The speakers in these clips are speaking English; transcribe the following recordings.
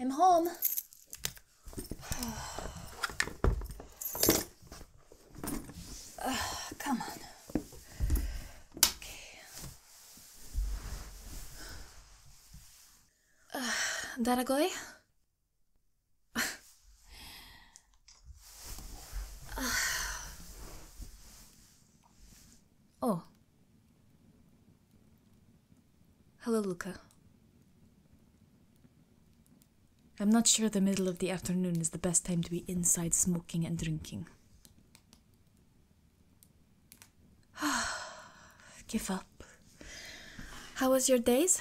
I'm home. Uh, come on. Okay. Uh, oh. Hello, Luca. I'm not sure the middle of the afternoon is the best time to be inside smoking and drinking. Give up. How was your days?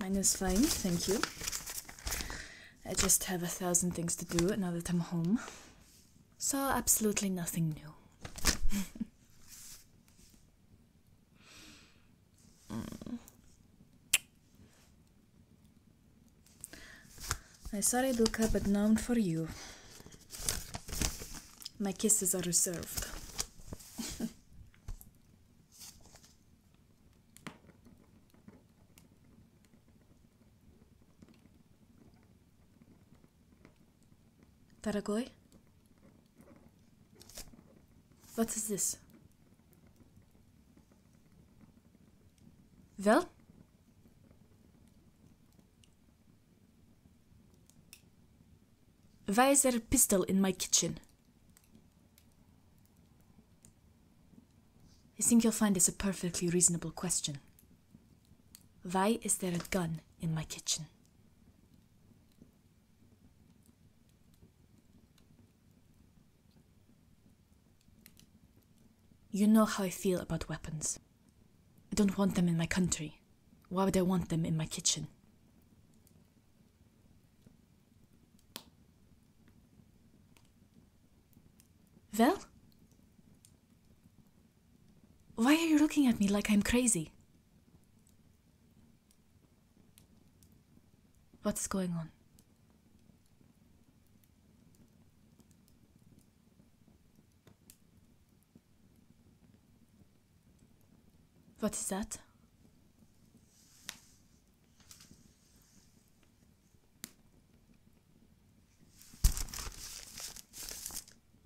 Mine is fine, thank you. I just have a thousand things to do now that I'm home. So, absolutely nothing new. I'm sorry, Luca, but none for you. My kisses are reserved. Taragoy? What is this? Well? Why is there a pistol in my kitchen? I think you'll find this a perfectly reasonable question. Why is there a gun in my kitchen? You know how I feel about weapons. I don't want them in my country. Why would I want them in my kitchen? Well? Why are you looking at me like I'm crazy? What's going on? What is that?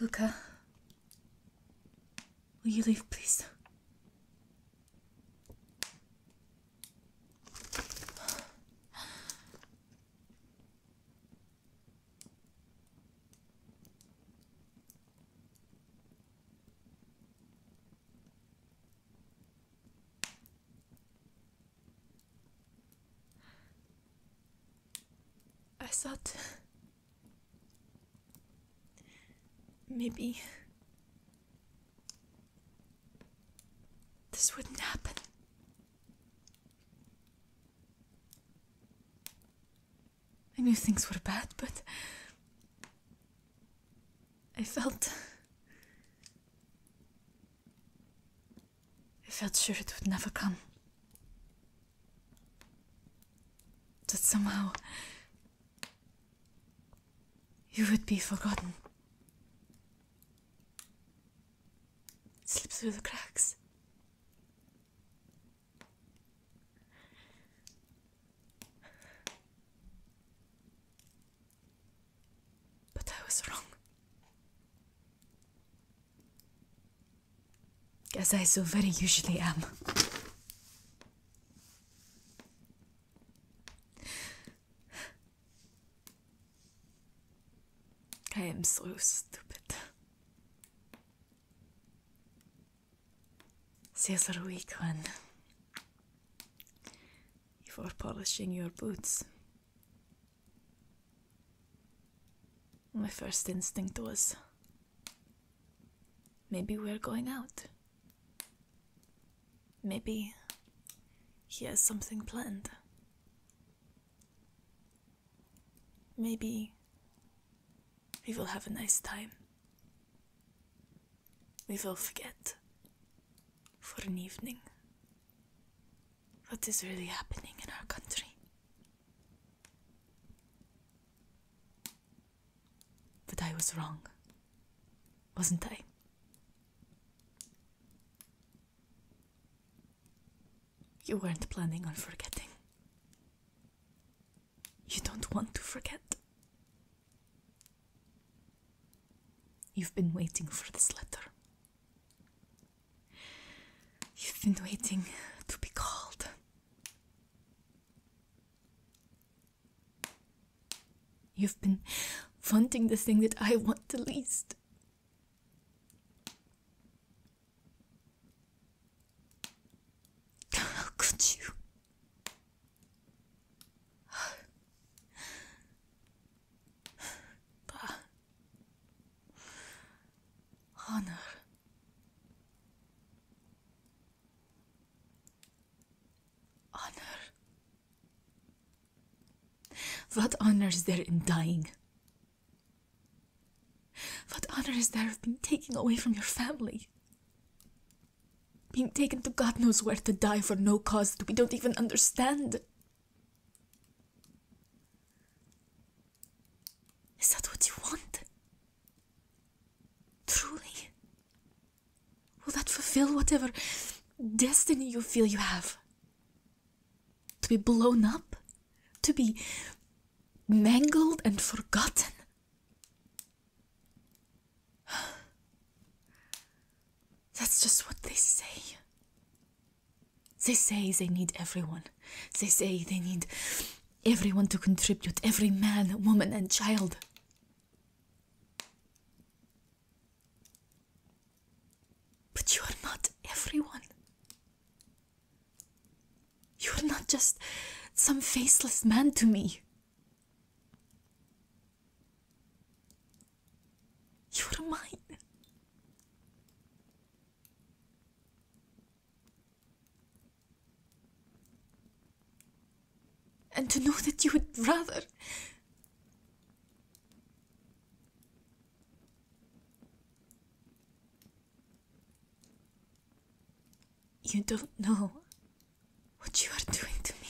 Luca, will you leave, please? I thought maybe this wouldn't happen. I knew things were bad, but I felt. I felt sure it would never come. That somehow you would be forgotten. Slip through the cracks. But I was wrong. As I so very usually am. I am so stupid a weak one. Before polishing your boots. My first instinct was maybe we're going out. Maybe he has something planned. Maybe we will have a nice time. We will forget for an evening what is really happening in our country. But I was wrong, wasn't I? You weren't planning on forgetting. You don't want to forget. You've been waiting for this letter. You've been waiting to be called. You've been wanting the thing that I want the least. How could you? Honor. Honor. What honor is there in dying? What honor is there of being taken away from your family? Being taken to God knows where to die for no cause that we don't even understand. Is that what you want? Truly? Will that fulfill whatever destiny you feel you have? To be blown up? To be mangled and forgotten? That's just what they say. They say they need everyone. They say they need everyone to contribute, every man, woman, and child. But you are not everyone. You're not just some faceless man to me. You're mine. And to know that you would rather. You don't know what you are doing to me.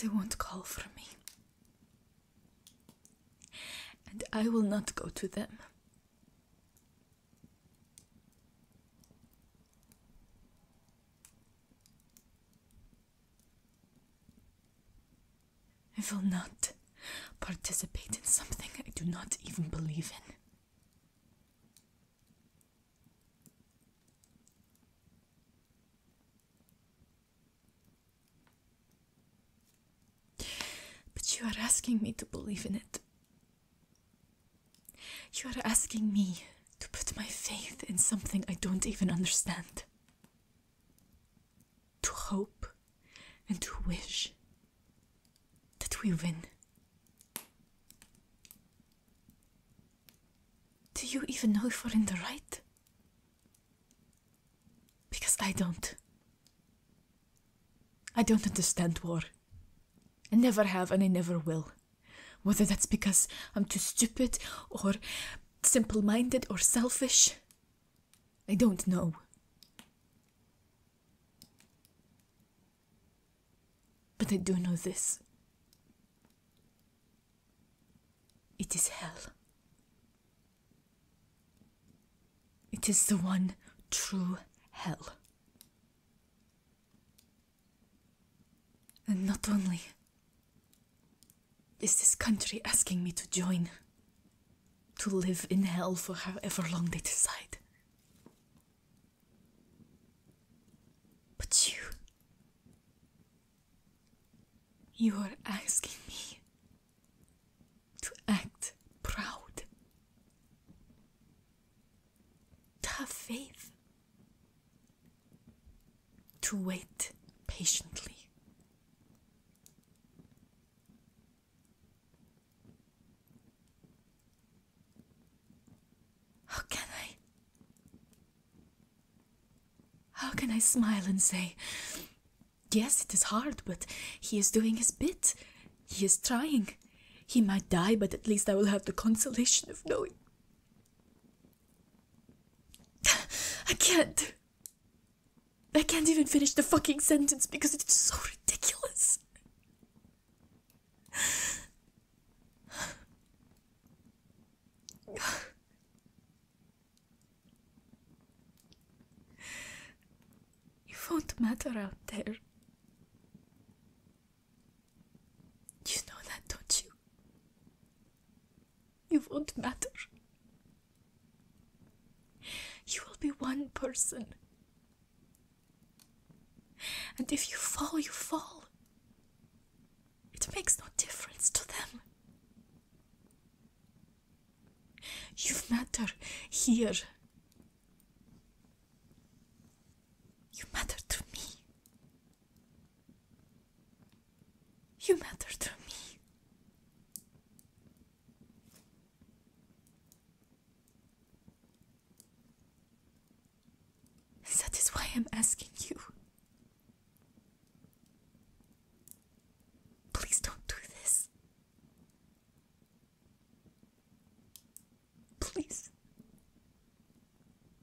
They won't call for me. And I will not go to them. I will not participate in something I do not even believe in. But you are asking me to believe in it. You are asking me to put my faith in something I don't even understand to hope and to wish that we win. Do you even know if we're in the right? Because I don't. I don't understand war. I never have and I never will. Whether that's because I'm too stupid or simple minded or selfish? I don't know. But I do know this it is hell. It is the one true hell. And not only is this country asking me to join? To live in hell for however long they decide? But you. You are asking me to act proud, Tough faith, to wait patiently. How can I? How can I smile and say, Yes, it is hard, but he is doing his bit. He is trying. He might die, but at least I will have the consolation of knowing. I can't. I can't even finish the fucking sentence because it's so ridiculous. You won't matter out there. You know that, don't you? You won't matter. You will be one person. And if you fall, you fall. It makes no difference to them. You matter here. You matter to me. You matter to me. that is why I'm asking you. Please don't do this. Please.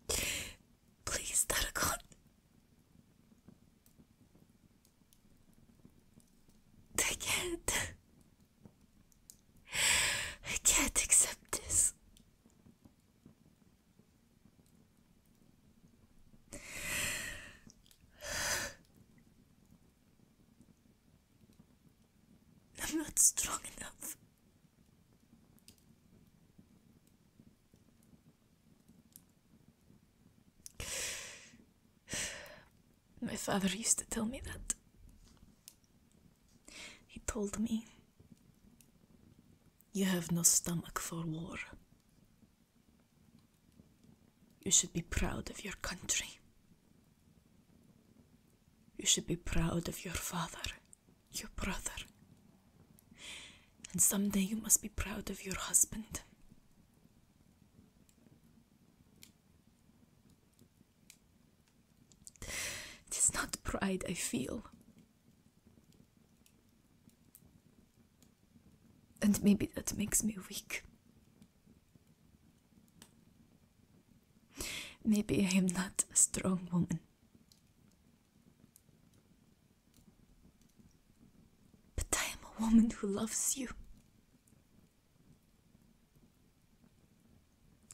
Please, Taragon. I can't. I can't accept this. I'm not strong enough. My father used to tell me that. He told me, You have no stomach for war. You should be proud of your country. You should be proud of your father, your brother and someday you must be proud of your husband. It is not pride I feel. And maybe that makes me weak. Maybe I am not a strong woman. But I am a woman who loves you.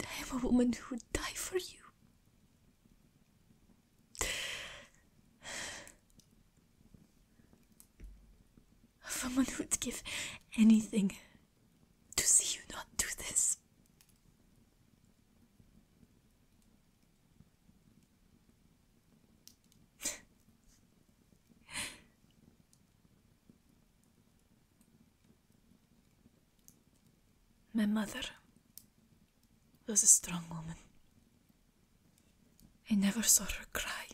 I am a woman who would die for you. A woman who would give anything to see you not do this. My mother was a strong woman. I never saw her cry.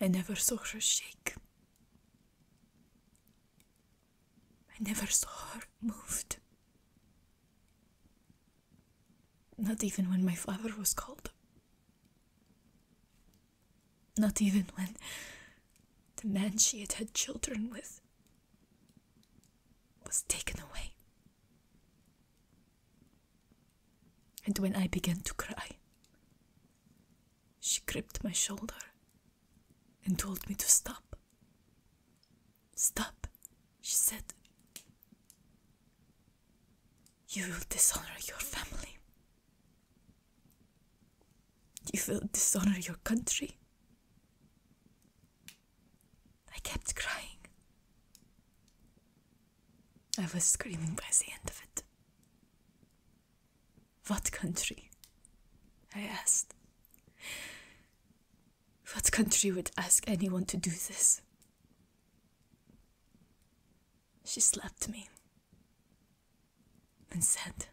I never saw her shake. I never saw her moved. Not even when my father was called. Not even when the man she had had children with was taken away. And when I began to cry, she gripped my shoulder and told me to stop. Stop, she said. You will dishonor your family. You will dishonor your country. I kept crying. I was screaming by the end of it. What country? I asked. What country would ask anyone to do this? She slapped me and said,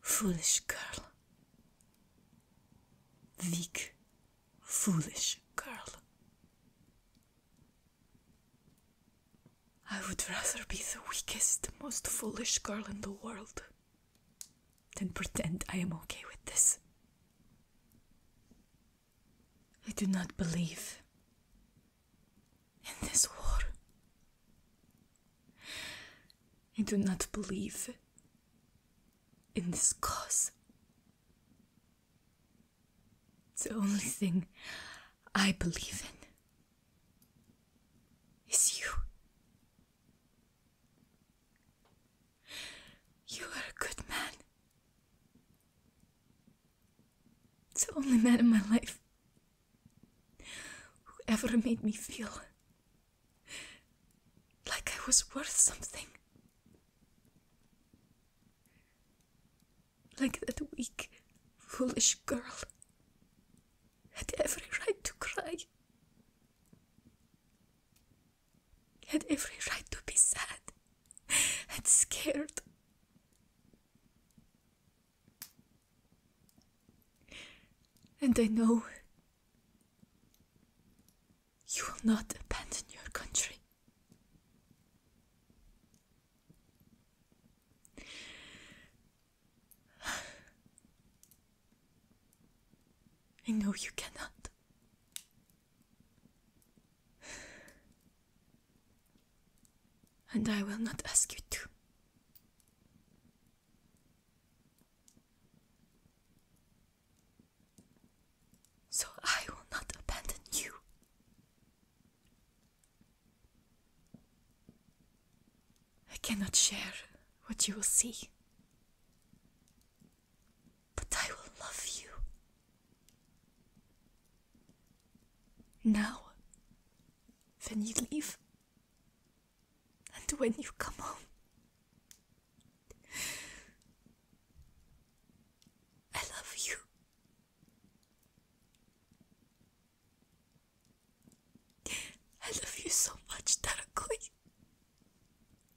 Foolish girl. Weak, foolish girl. I would rather be the weakest, most foolish girl in the world then pretend I am okay with this. I do not believe in this war. I do not believe in this cause. the only thing I believe in is you. You are a good man. the only man in my life who ever made me feel like I was worth something. Like that weak, foolish girl had every right to cry had every right to be sad and scared. And I know you will not abandon your country. I know you cannot. And I will not ask you to. So I will not abandon you. I cannot share what you will see but I will love you. Now, when you leave, and when you come home, I love you. I love you so much, Tarakoi.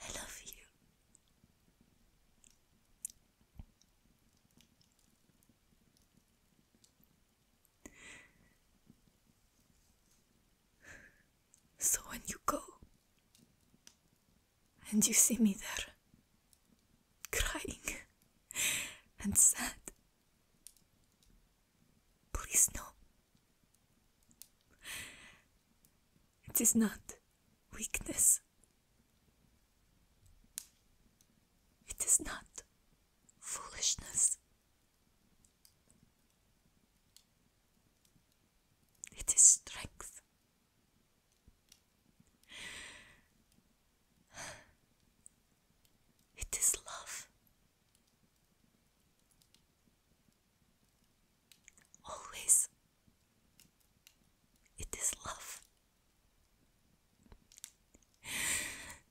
I love you. So when you go, and you see me there, crying and sad. Please, no. It is not weakness. It is not foolishness. It is strength It is love. Always. It is love.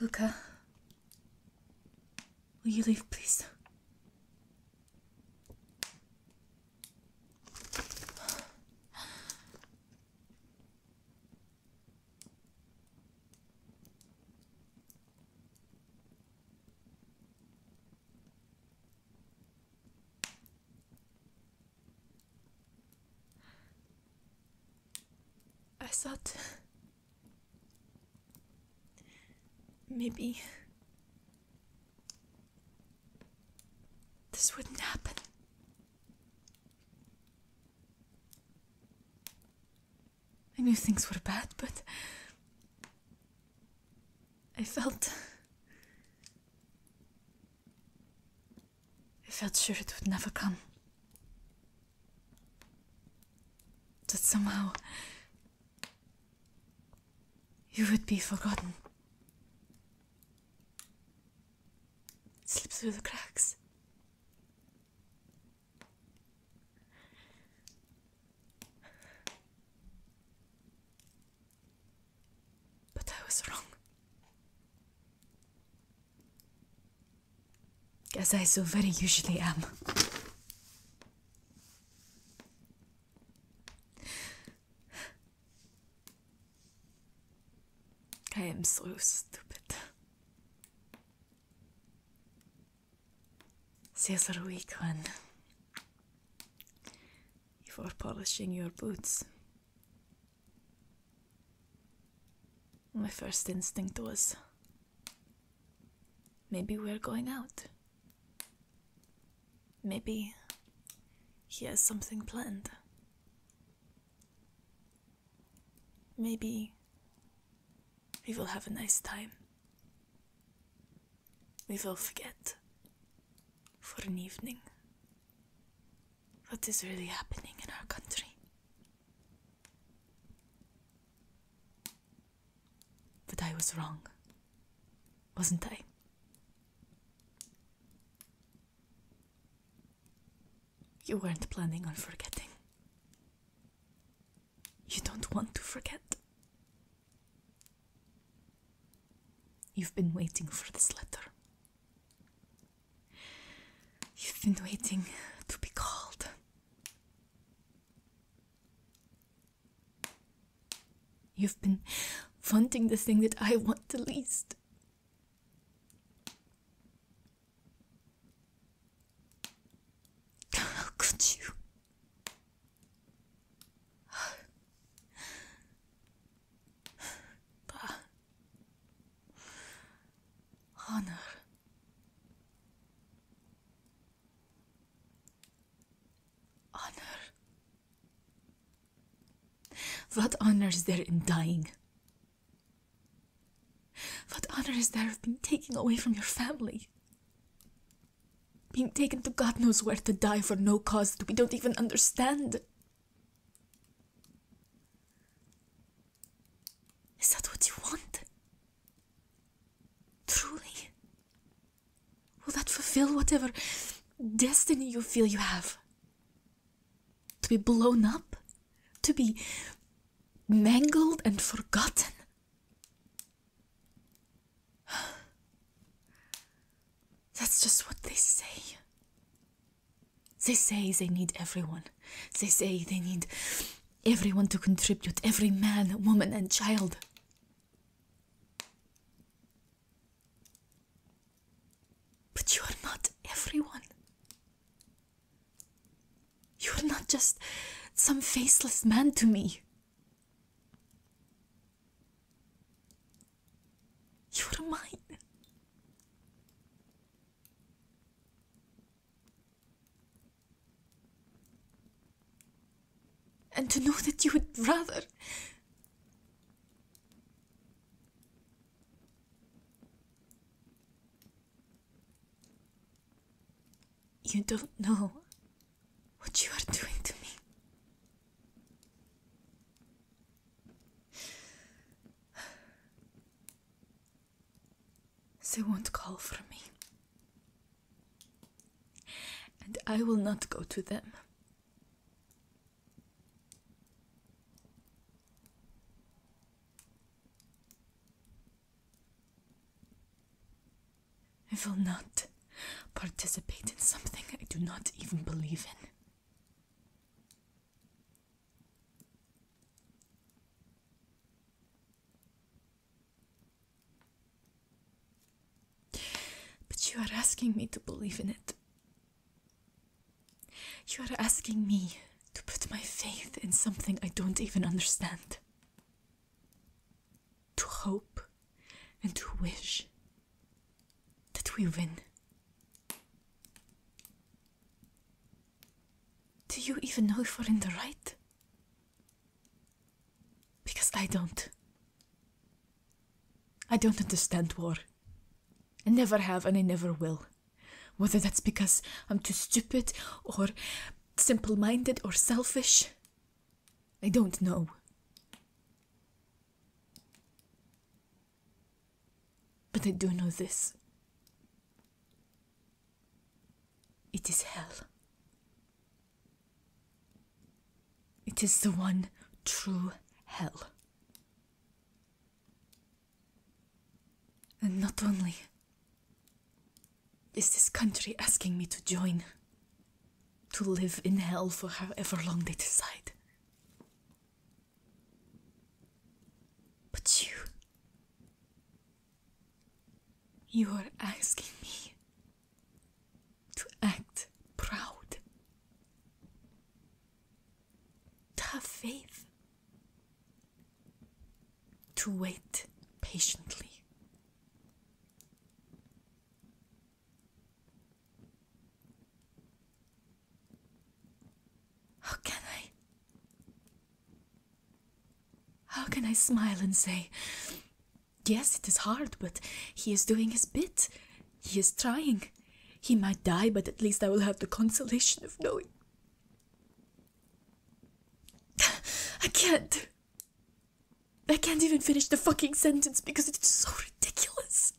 Luca, will you leave, please? I thought maybe this wouldn't happen. I knew things were bad, but I felt. I felt sure it would never come. That somehow you would be forgotten. slip through the cracks. But I was wrong. As I so very usually am. I am so stupid. Caesar weak one before polishing your boots. My first instinct was maybe we're going out. Maybe he has something planned. Maybe we will have a nice time. We will forget for an evening what is really happening in our country. But I was wrong, wasn't I? You weren't planning on forgetting. You don't want to forget. You've been waiting for this letter. You've been waiting to be called. You've been wanting the thing that I want the least. How could you? honor. Honor. What honor is there in dying? What honor is there of being taken away from your family? Being taken to God knows where to die for no cause that we don't even understand. Is that what you want? Truly? Will that fulfill whatever destiny you feel you have? To be blown up? To be mangled and forgotten? That's just what they say. They say they need everyone. They say they need everyone to contribute, every man, woman, and child. But you are not everyone. You're not just some faceless man to me. You're mine. And to know that you would rather. You don't know what you are doing to me. They won't call for me. And I will not go to them. I will not participate in something I do not even believe in. But you are asking me to believe in it. You are asking me to put my faith in something I don't even understand to hope and to wish that we win. Do you even know if we're in the right? Because I don't. I don't understand war. I never have and I never will. Whether that's because I'm too stupid or simple minded or selfish, I don't know. But I do know this. It is hell. It is the one true hell. And not only is this country asking me to join? To live in hell for however long they decide? But you. You are asking me to act proud, to have faith, to wait patiently. How can I? How can I smile and say, Yes, it is hard, but he is doing his bit. He is trying. He might die, but at least I will have the consolation of knowing. I can't. I can't even finish the fucking sentence because it's so ridiculous.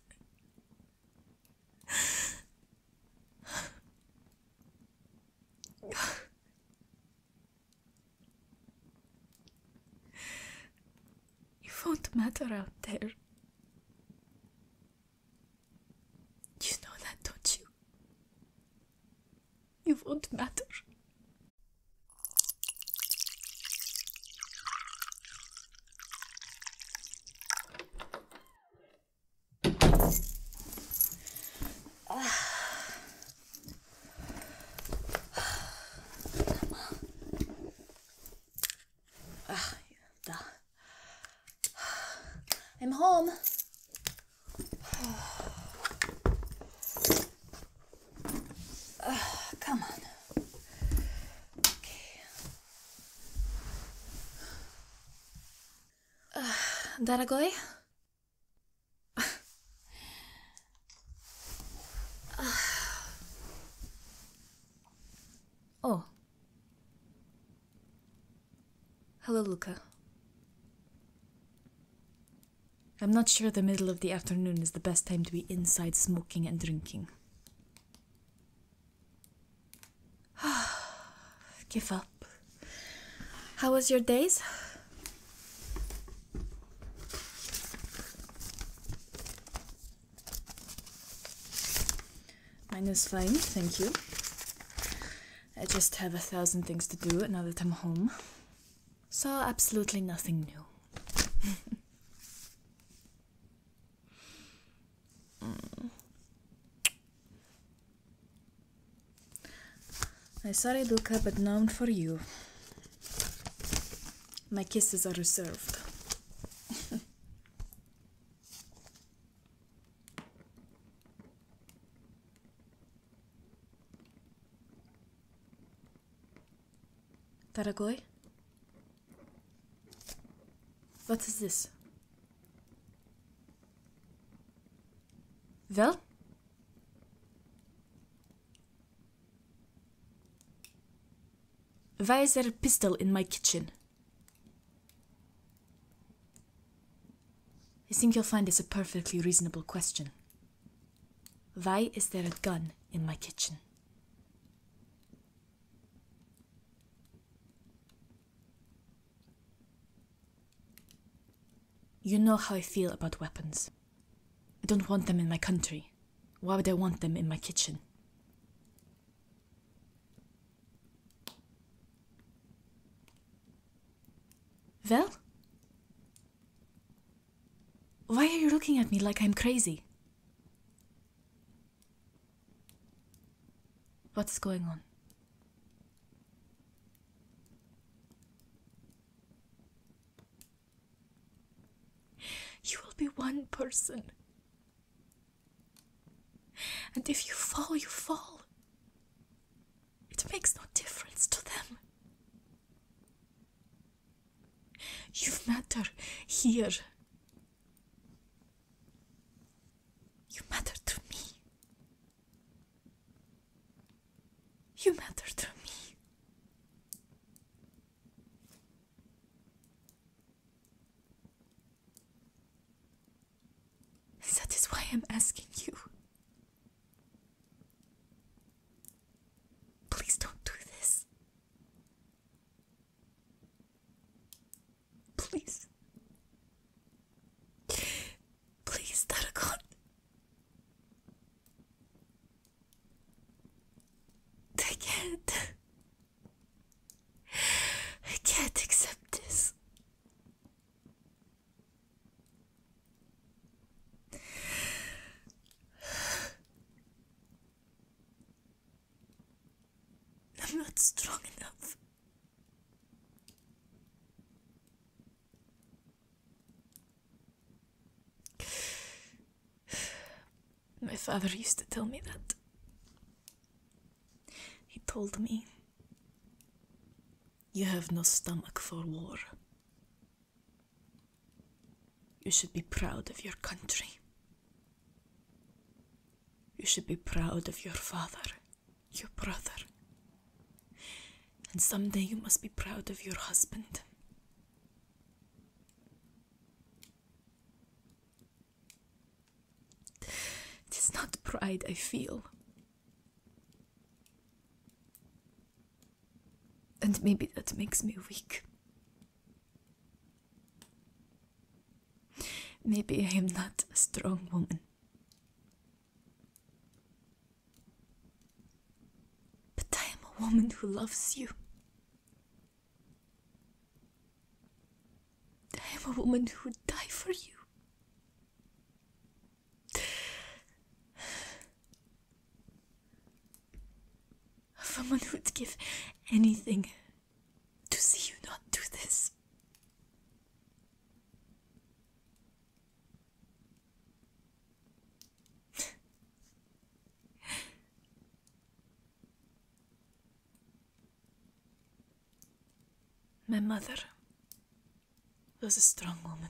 You won't matter out there. You know that, don't you? It won't matter. I'm home. Uh, come on. Okay. Uh, ah, Daragoi? Ah. Oh. Hello, Luca. I'm not sure the middle of the afternoon is the best time to be inside smoking and drinking. Give up. How was your days? Mine is fine, thank you. I just have a thousand things to do now that I'm home. So, absolutely nothing new. I'm sorry, up but none for you. My kisses are reserved. Taragoy? What is this? Well? Why is there a pistol in my kitchen? I think you'll find this a perfectly reasonable question. Why is there a gun in my kitchen? You know how I feel about weapons. I don't want them in my country. Why would I want them in my kitchen? Well, why are you looking at me like I'm crazy? What's going on? You will be one person. And if you fall, you fall. It makes no difference to them. You've matter here. You matter to me. You matter to me. That is why I'm asking you. Please don't do this. Please. Please, Taragon. I can't. I can't accept this. I'm not strong enough. My father used to tell me that. He told me, You have no stomach for war. You should be proud of your country. You should be proud of your father, your brother. And someday you must be proud of your husband. It is not pride I feel, and maybe that makes me weak. Maybe I am not a strong woman. But I am a woman who loves you. I am a woman who would die for you. Someone who would give anything to see you not do this. My mother was a strong woman.